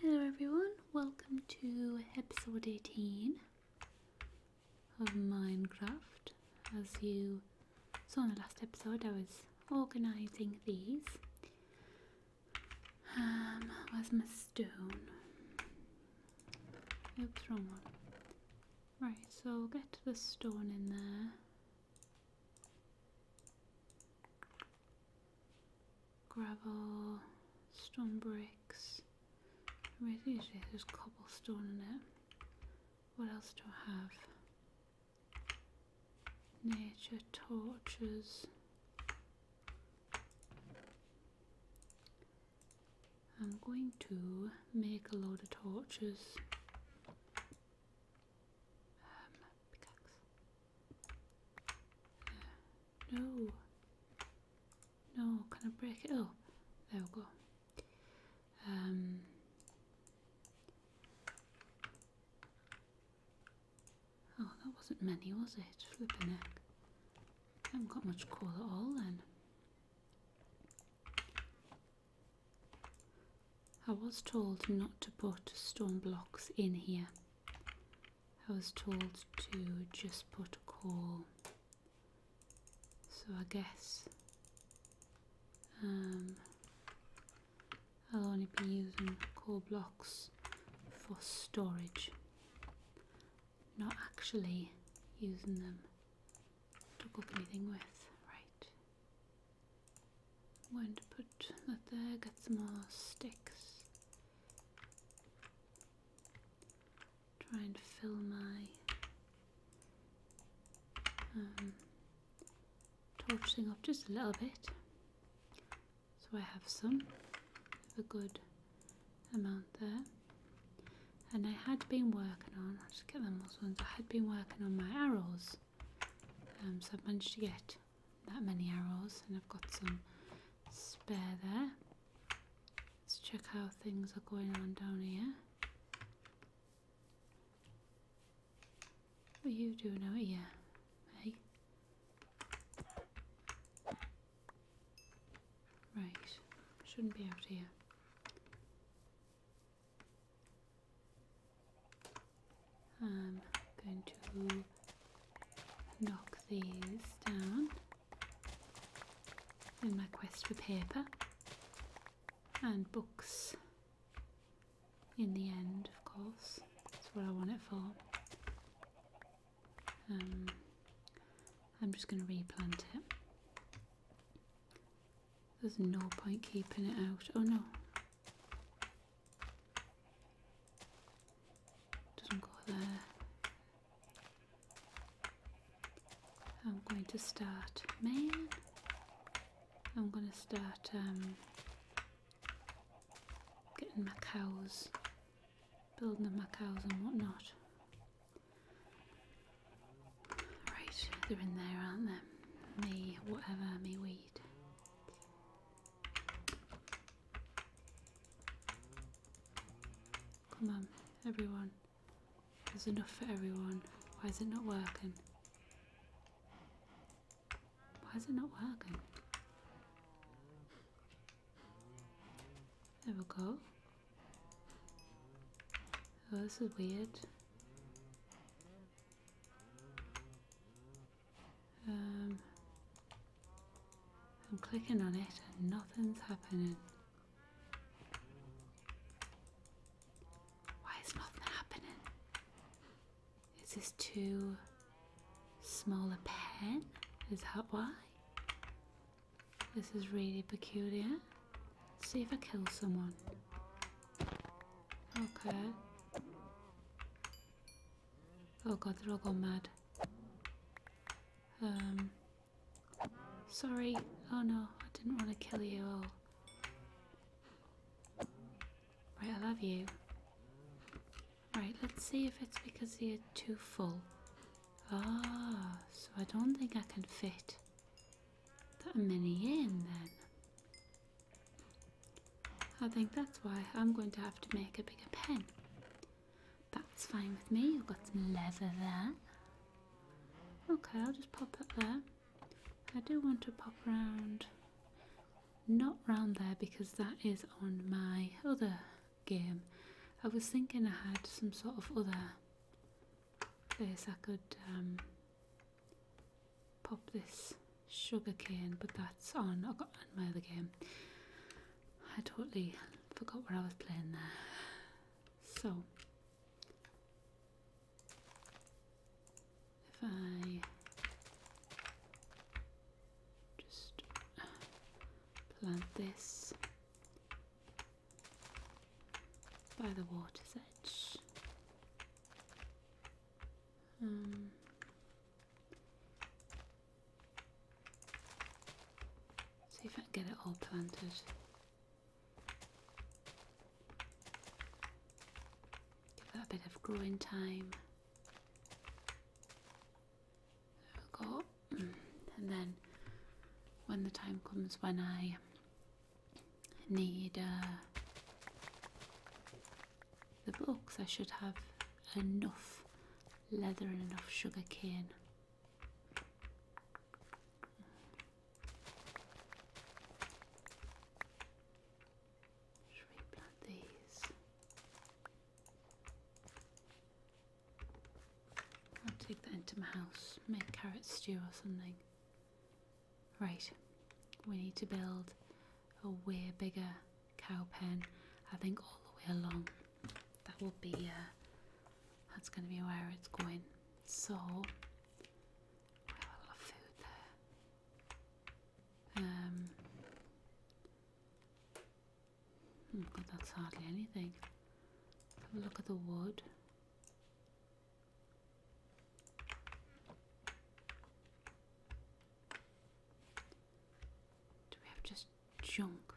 Hello everyone, welcome to episode 18 of Minecraft. As you saw in the last episode, I was organising these. Um, where's my stone? Oops, wrong one. Right, so get the stone in there gravel, stone bricks. Usually there's cobblestone in it. What else do I have? Nature torches. I'm going to make a load of torches. Um, no. No, can I break it up? There we go. Um, oh, that wasn't many, was it? Flipping heck. I haven't got much coal at all then. I was told not to put stone blocks in here I was told to just put a call. So I guess um, I'll only be using core blocks for storage, not actually using them to cook anything with. Right. I'm put out that there, get some more sticks. Trying to fill my um, torch thing up just a little bit. So I have some, a good amount there. And I had been working on, I'll get them those ones, I had been working on my arrows. Um, so I've managed to get that many arrows and I've got some spare there. Let's check how things are going on down here. What are you doing out here? Hey? Right, shouldn't be out here. I'm um, going to knock these down in my quest for paper and books in the end of course that's what I want it for um, I'm just going to replant it there's no point keeping it out oh no doesn't go there. I'm going to start man. I'm going to start um, getting my cows, building up my cows and whatnot. Right, they're in there, aren't they? Me, whatever, me weed. Come on, everyone. There's enough for everyone. Why is it not working? Why is it not working? There we go. Oh, this is weird. Um, I'm clicking on it and nothing's happening. Why is nothing happening? Is this too small a pen? Is that why? This is really peculiar. Let's see if I kill someone. Okay. Oh god, they're all gone mad. Um, sorry. Oh no, I didn't want to kill you all. Right, I love you. Right, let's see if it's because you're too full. Ah, so I don't think I can fit that many in then. I think that's why I'm going to have to make a bigger pen. That's fine with me. I've got some leather there. Okay, I'll just pop that there. I do want to pop around. not round there because that is on my other game. I was thinking I had some sort of other place I could um, pop this sugar cane, but that's on, I have got on my other game. I totally forgot where I was playing there. So, if I just plant this by the water's edge. Um, See if I can get it all planted. Give it a bit of growing time. There we go. And then when the time comes when I need a. Uh, the books, I should have enough leather and enough sugar cane. Should we these? I'll take that into my house, make carrot stew or something. Right, we need to build a way bigger cow pen. I think all the way along that will be uh, that's going to be where it's going. So we have a lot of food there. Um, oh that's hardly anything. have a look at the wood. just junk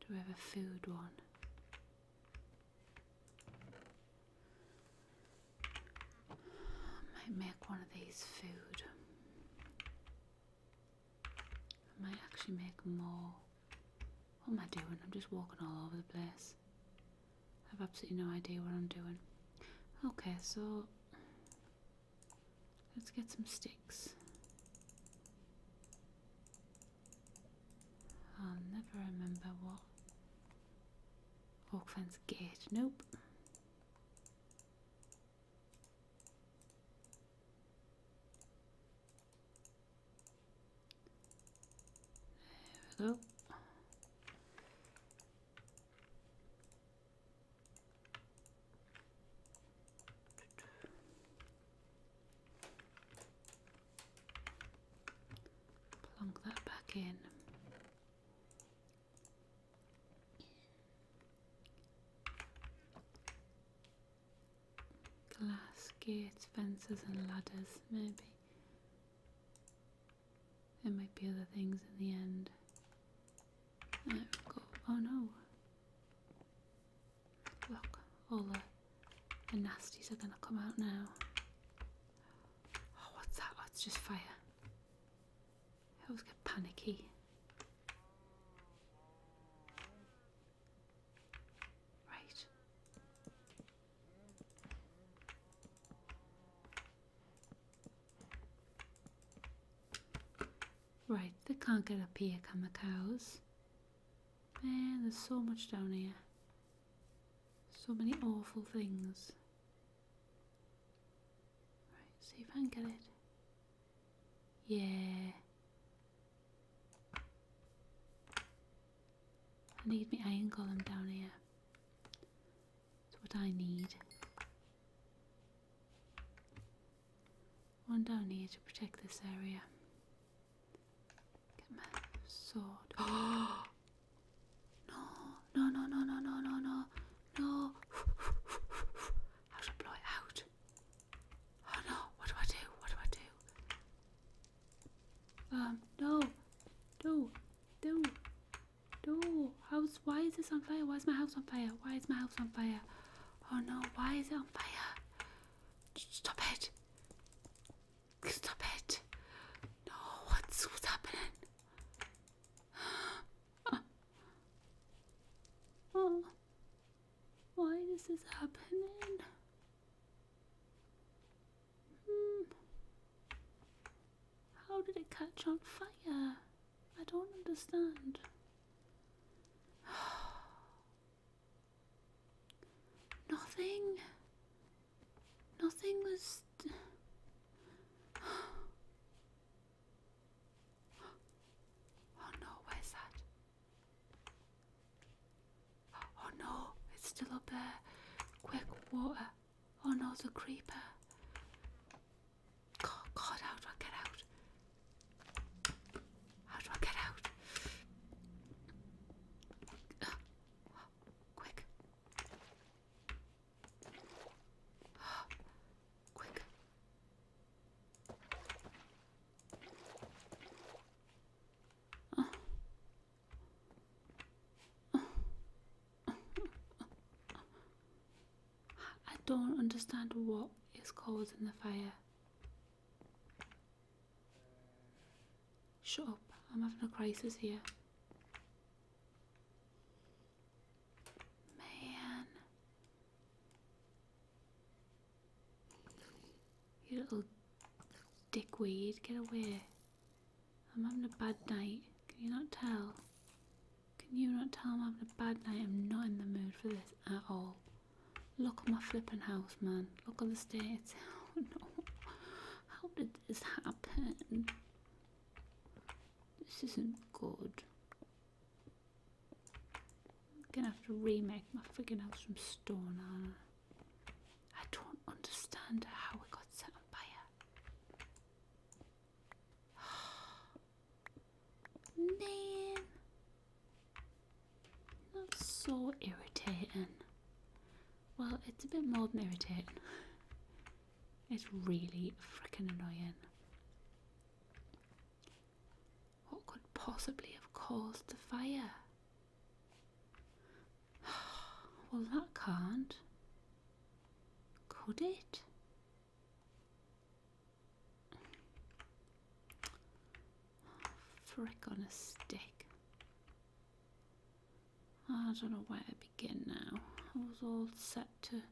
Do we have a food one. I might make one of these food. I might actually make more. What am I doing? I'm just walking all over the place. I have absolutely no idea what I'm doing. Okay, so Let's get some sticks. I'll never remember what. Hawkfence Gate. Nope. There Plunk that back in. Glass, gates, fences, and ladders, maybe. There might be other things in the end oh no. Look, all the, nasties are going to come out now. Oh, what's that? Oh, it's just fire. I always get panicky. Right. Right, they can't get up here, can the cows? Man, there's so much down here. So many awful things. Right, see if I can get it. Yeah. I need my iron golem down here. It's what I need. One down here to protect this area. Get my sword. No, no, no, no, no, no, no, no, no. How to blow it out? Oh no, what do I do? What do I do? Um, no, do, do, do. House, why is this on fire? Why is my house on fire? Why is my house on fire? Oh no, why is it on fire? Stop it. Stop it. No, what's, what's happening? Oh, why is this happening? Hmm. How did it catch on fire? I don't understand. Nothing. Nothing was. Oh no, where's that? Oh no, it's still up there. Quick, water. Oh no, the creeper. God, God, how do I get out? How do I get out? quick. quick. I don't understand what is causing the fire. Shut up, I'm having a crisis here. Man. You little dickweed, get away. I'm having a bad night, can you not tell? Can you not tell I'm having a bad night? I'm not in the mood for this at all. Look at my flipping house, man. Look at the state. Oh How did this happen? This isn't good. I'm gonna have to remake my freaking house from stone, Anna. I don't understand how we got set on fire. Man, that's so irritating. Well, it's a bit more than irritating. It's really freaking annoying. What could possibly have caused the fire? well, that can't. Could it? Frick on a stick. I don't know where to begin now. I was all set to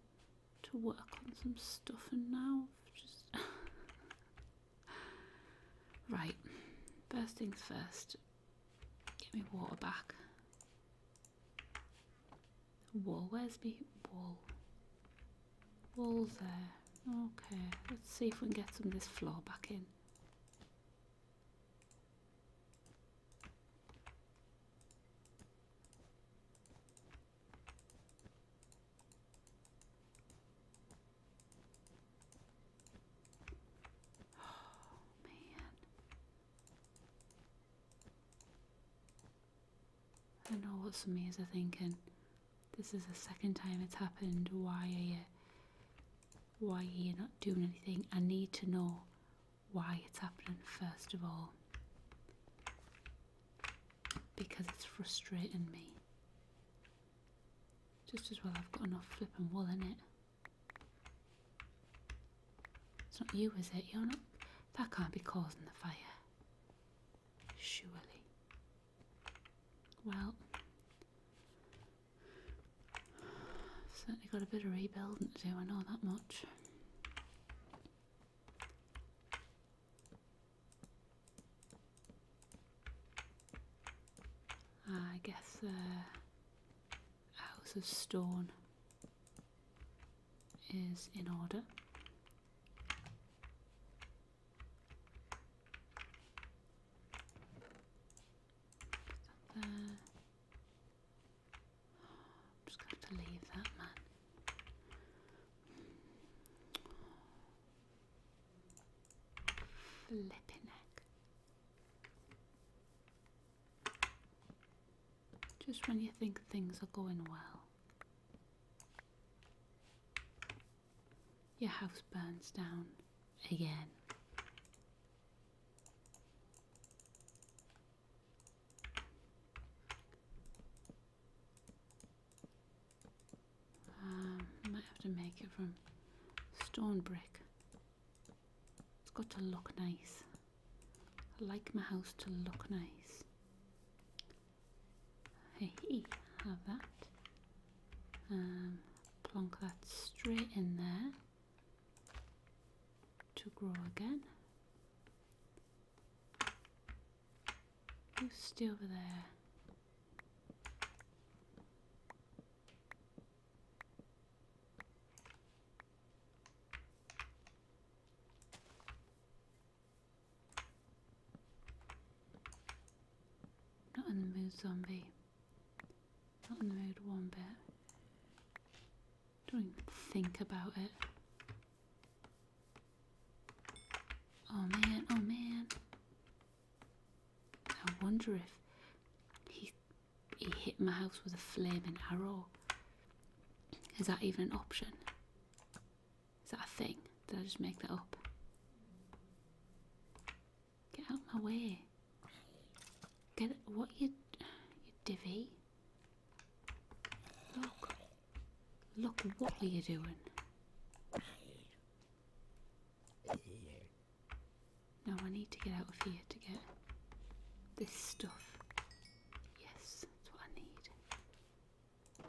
to work on some stuff and now just Right. First things first. Get me water back. Wall, where's the wall? Wall there. Okay, let's see if we can get some of this floor back in. Oh, man. I don't know what some of yous are thinking. This is the second time it's happened. Why are you why are you not doing anything? I need to know why it's happening first of all. Because it's frustrating me. Just as well I've got enough flipping wool in it. It's not you, is it? You're not that can't be causing the fire. Surely. Well, certainly got a bit of rebuilding to do, I know that much. I guess the uh, house of stone is in order. just have to leave that man. Flipping neck. Just when you think things are going well. Your house burns down again. Um, might have to make it from stone brick. It's got to look nice. I like my house to look nice. Hey, have that. Um, plonk that straight in there to grow again. You stay over there. Not in the mood, zombie. Not in the mood one bit. Don't even think about it. Oh man, oh man. I wonder if he he hit my house with a flaming arrow. Is that even an option? Is that a thing? Did I just make that up? Get out of my way. Get it. What you. You divvy. Look. Look, what are you doing? No, I need to get out of here to get this stuff. Yes, that's what I need. I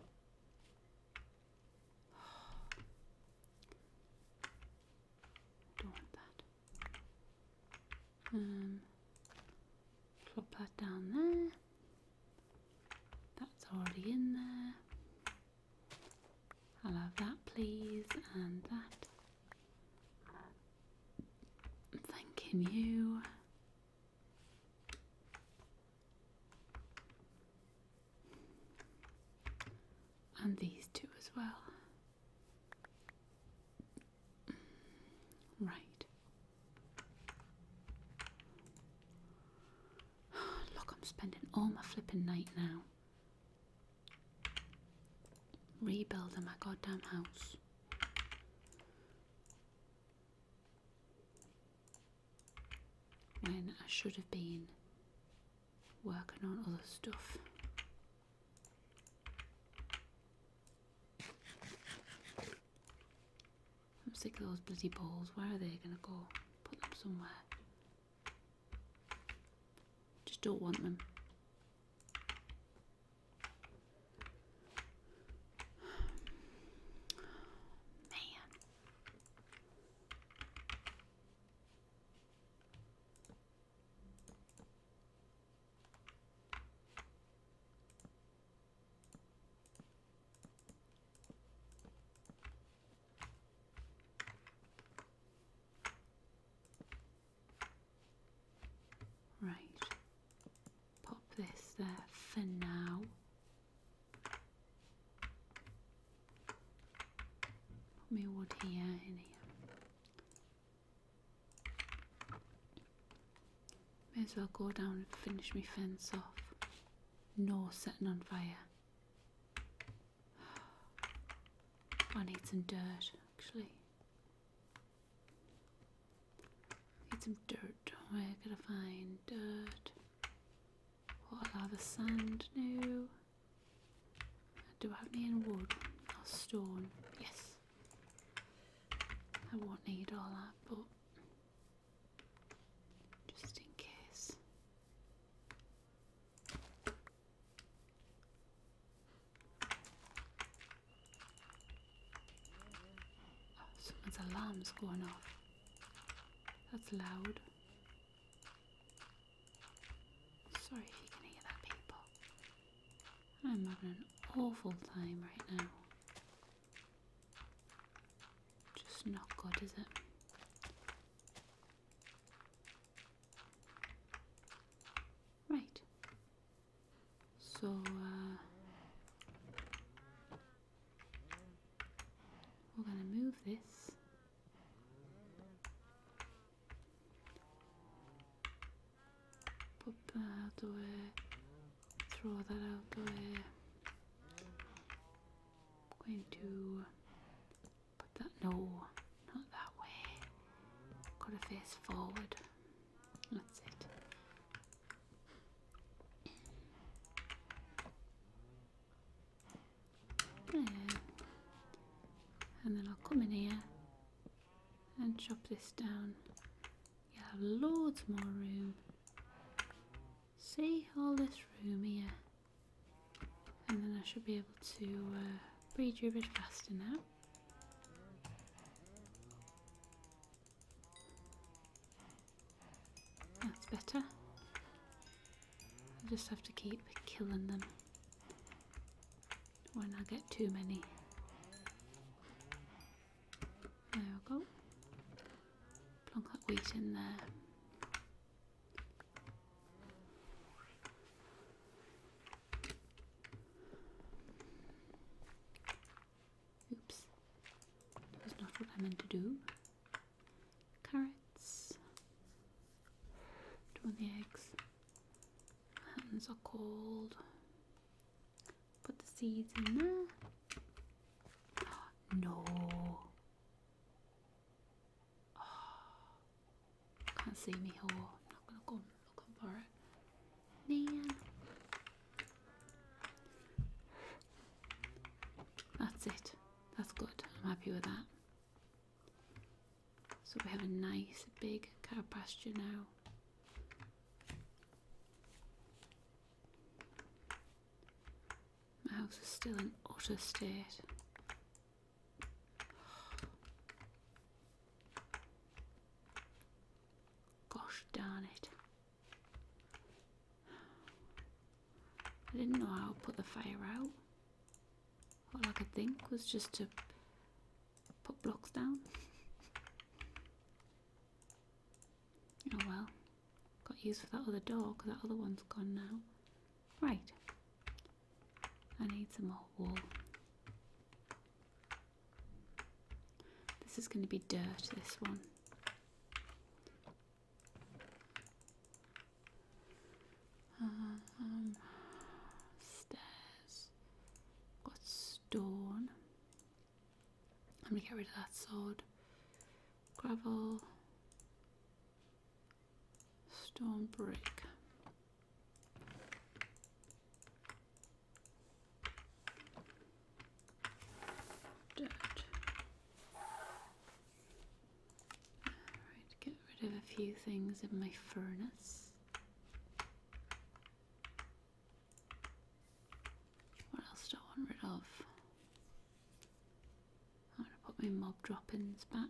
don't want that. Um, plop that down there. That's already in there. i love that please and that. Thanking you. And these two as well. Right. Look, I'm spending all my flipping night now rebuilding my goddamn house when I should have been working on other stuff. I'm sick of those bloody balls. Where are they going to go? Put them somewhere. Just don't want them. Man. Right pop this there for now. Put me wood here in May as well go down and finish my fence off. No setting on fire. I need some dirt actually. Need some dirt. Where can I find dirt? What will the sand? No. Do I have any in wood or stone? Yes. I won't need all that, but just in case. Oh, someone's alarm's going off. That's loud. Sorry if you can hear that, people. I'm having an awful time right now. Just not good, is it? Right. So, uh, we're going to move this. Put that out the way. Throw that out the way. I'm going to put that, no, not that way. Got to face forward. That's it. And then I'll come in here and chop this down. You'll have loads more room. See all this room here. And then I should be able to uh, breed you a bit faster now. That's better. I just have to keep killing them when I get too many. There we go. Plonk that wheat in there. Oops. that's not what I meant to do. Carrots. Don't want eggs. Hands are cold. Put the seeds in there. No. can't see me. Oh, I'm not gonna go look for it. Man. That's it. That's good. I'm happy with that. So we have a nice big cow pasture now. My house is still in utter state. Gosh darn it. I didn't know how to put the fire out. All I could think was just to put blocks down. Oh well, got used for that other door because that other one's gone now. Right, I need some more wool. This is going to be dirt, this one. Um, stairs. Got stone. I'm gonna get rid of that sod. Gravel. Stone brick. Dirt. Alright, get rid of a few things in my furnace. What else do I want rid of? I'm going to put my mob droppings back.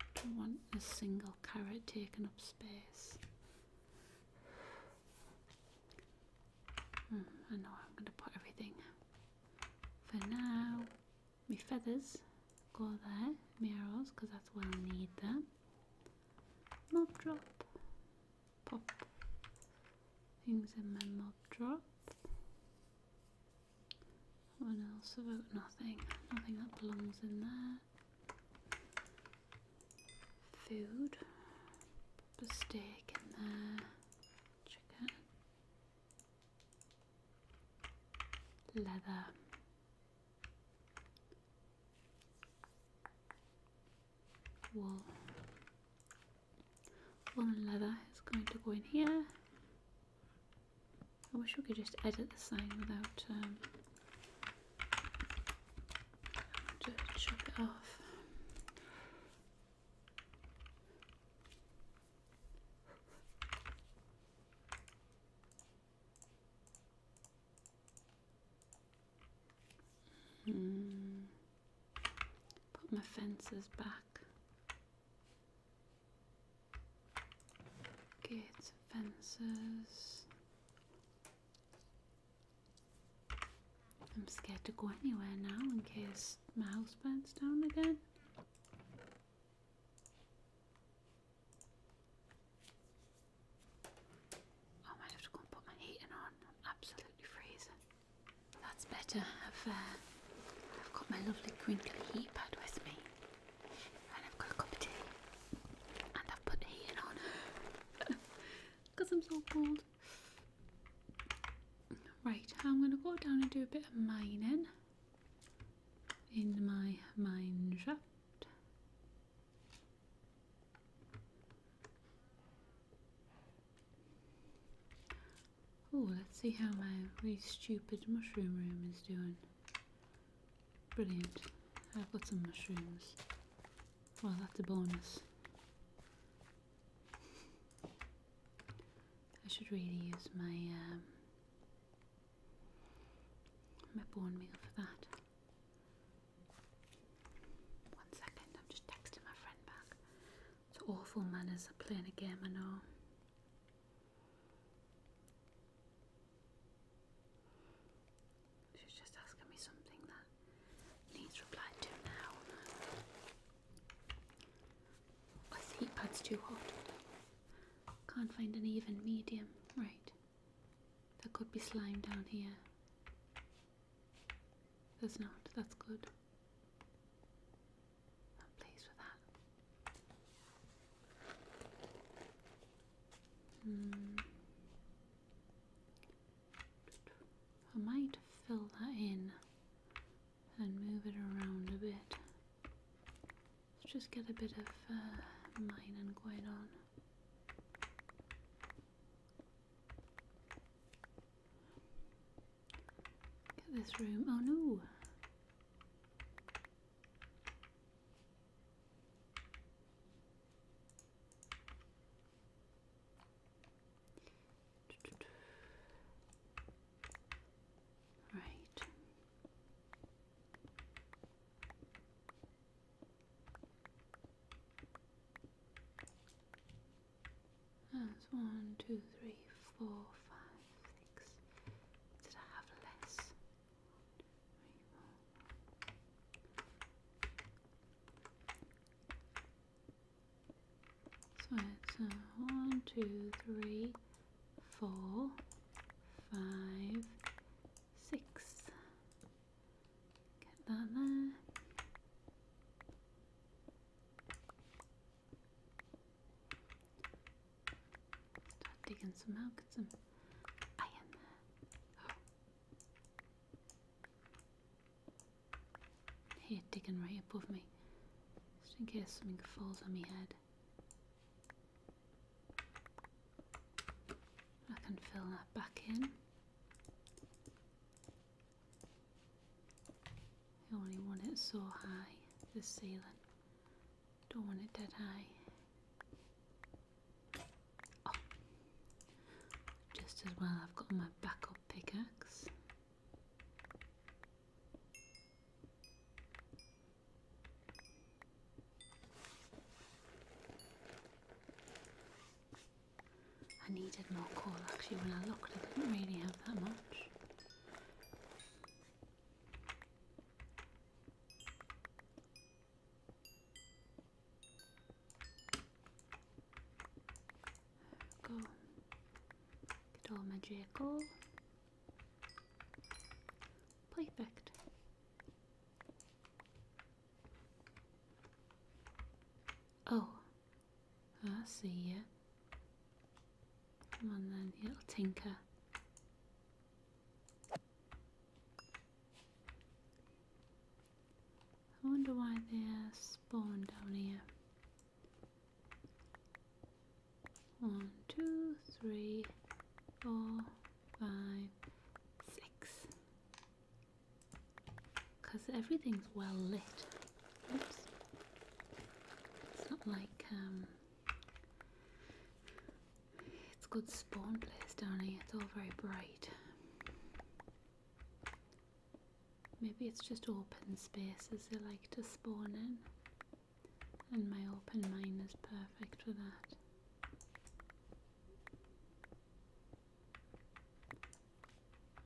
I don't want a single carrot taking up space. Hmm, I know I'm going to put everything for now. My feathers go there, Mirrors, because that's where I'll need them. Mob drop, pop things in my mob drop. What else about nothing? Nothing that belongs in there. Food. Put steak in there. Chicken. Leather. Wool. Wool leather is going to go in here. I wish we could just edit the sign without um, just chop it off. Hmm. Put my fences back. Gates, fences. I'm scared to go anywhere now in case my house burns down again. I might have to go and put my heating on. I'm absolutely freezing. That's better. I've, uh, I've got my lovely crinkly heat pad with me. And I've got a cup of tea. And I've put heating on. because I'm so cold. Right, I'm going to go down and do a bit of mining in my mine shaft. Oh, let's see how my really stupid mushroom room is doing. Brilliant. I've got some mushrooms. Well, that's a bonus. I should really use my um, my bone meal for that. One second, I'm just texting my friend back. It's awful manners of playing a game, I know. She's just asking me something that needs replied to now. Oh, this heat pad's too hot. Can't find an even medium. Right. There could be slime down here. There's not. That's good. I'm pleased with that. Hmm. I might fill that in and move it around a bit. Let's just get a bit of uh, mining going on. Get this room. Oh no! Right. That's one, two, three, four, five, six. Did I have less? So it's uh, one, two, three, four, five, six. Get that there. Start digging some out, get some iron there. Oh. Here, digging right above me, just in case something falls on my head. I can fill that back in. I only want it so high, the ceiling. Don't want it dead high. Oh. Just as well, I've got my backup pickaxe. I needed more coal actually when I looked, I didn't really have that much. Go. Get all my Perfect. Oh, ah, I see it. Come on then, little tinker. I wonder why they're spawned down here. One, two, three, four, five, six. Because everything's well lit. It's not like, um, it's good spawn place down here. It's all very bright. Maybe it's just open spaces they like to spawn in, and my open mind is perfect for that.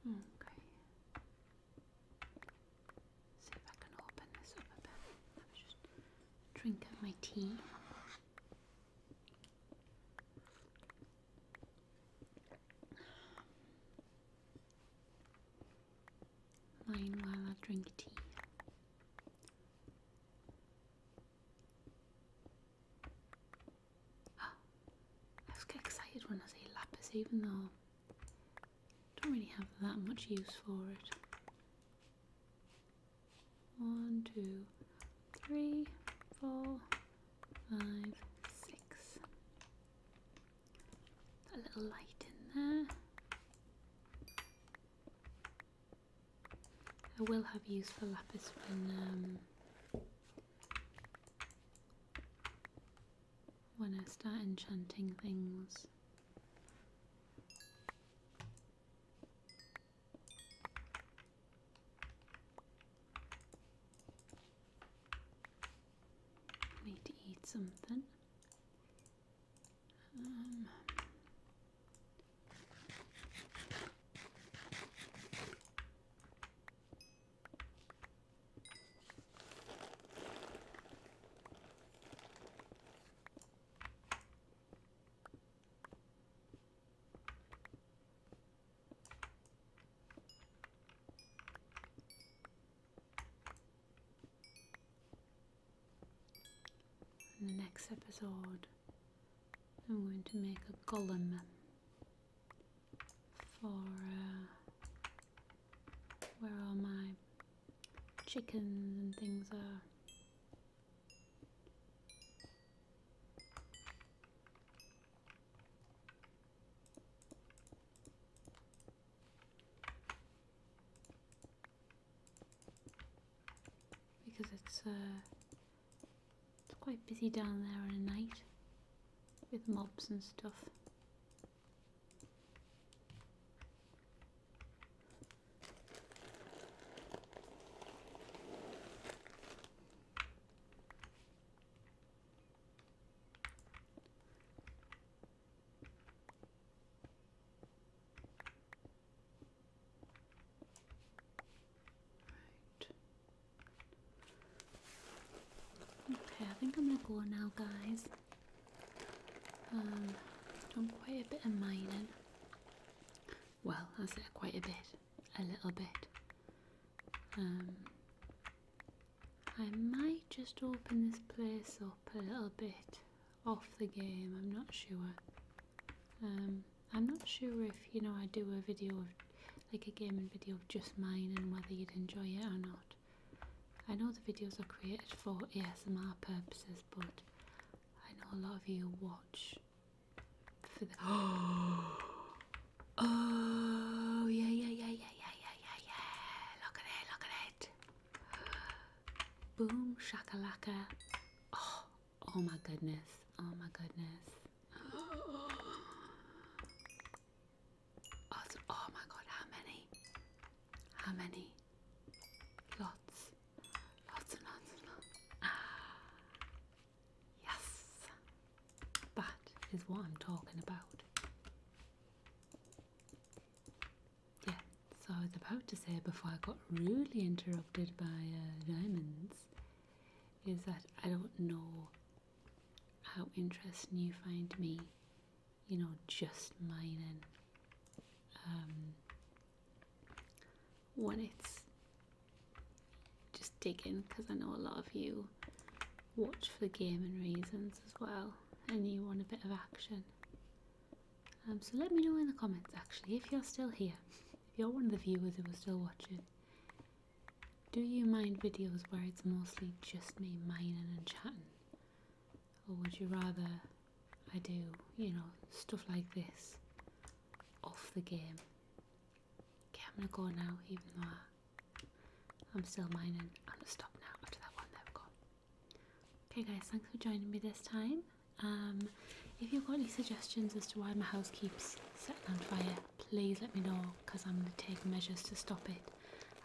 Okay. See if I can open this up a bit. I'll just drink my tea. Mine while I drink tea. Oh, I get excited when I see lapis, even though I don't really have that much use for it. One, two, three, four, five, six. A little light in there. I will have use for lapis when um, I start enchanting things. I need to eat something. Um, in the next episode, I'm going to make a column for uh, where all my chickens and things are. Because it's, uh, it's quite busy down there at night with mobs and stuff. Okay, I think I'm gonna go now, guys. Um, done quite a bit of mining. Well, I said quite a bit, a little bit. Um, I might just open this place up a little bit off the game, I'm not sure. Um, I'm not sure if, you know, I do a video, of, like a gaming video of just mine and whether you'd enjoy it or not. I know the videos are created for ASMR purposes, but I know a lot of you watch for the oh yeah yeah yeah yeah yeah yeah yeah yeah! Look at it! Look at it! Boom shakalaka! Oh oh my goodness! Oh my goodness! Awesome. Oh, oh my god! How many? How many? Lots, lots and lots and lots. Yes! That is what I'm talking about. Yeah, so I was about to say before I got rudely interrupted by uh, diamonds is that I don't know how interesting you find me, you know, just mining. Um, when it's just digging because I know a lot of you watch for gaming reasons as well and you want a bit of action. Um, so let me know in the comments actually if you're still here, if you're one of the viewers who are still watching. Do you mind videos where it's mostly just me mining and chatting? Or would you rather I do, you know, stuff like this off the game? Okay, I'm gonna go now, even though I, uh, I'm still mining. I'm gonna stop now after that one. There we go. Okay, guys, thanks for joining me this time. Um, if you've got any suggestions as to why my house keeps setting on fire, please let me know because I'm gonna take measures to stop it.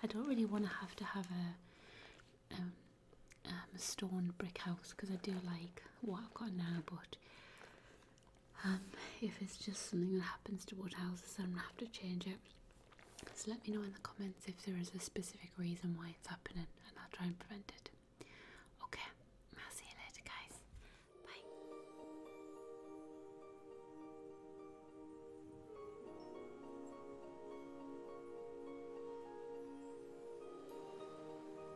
I don't really want to have to have a um, um, stone brick house because I do like what I've got now, but um, if it's just something that happens to wood houses, I'm gonna have to change it. So let me know in the comments if there is a specific reason why it's happening, and I'll try and prevent it. Okay, I'll see you later, guys. Bye.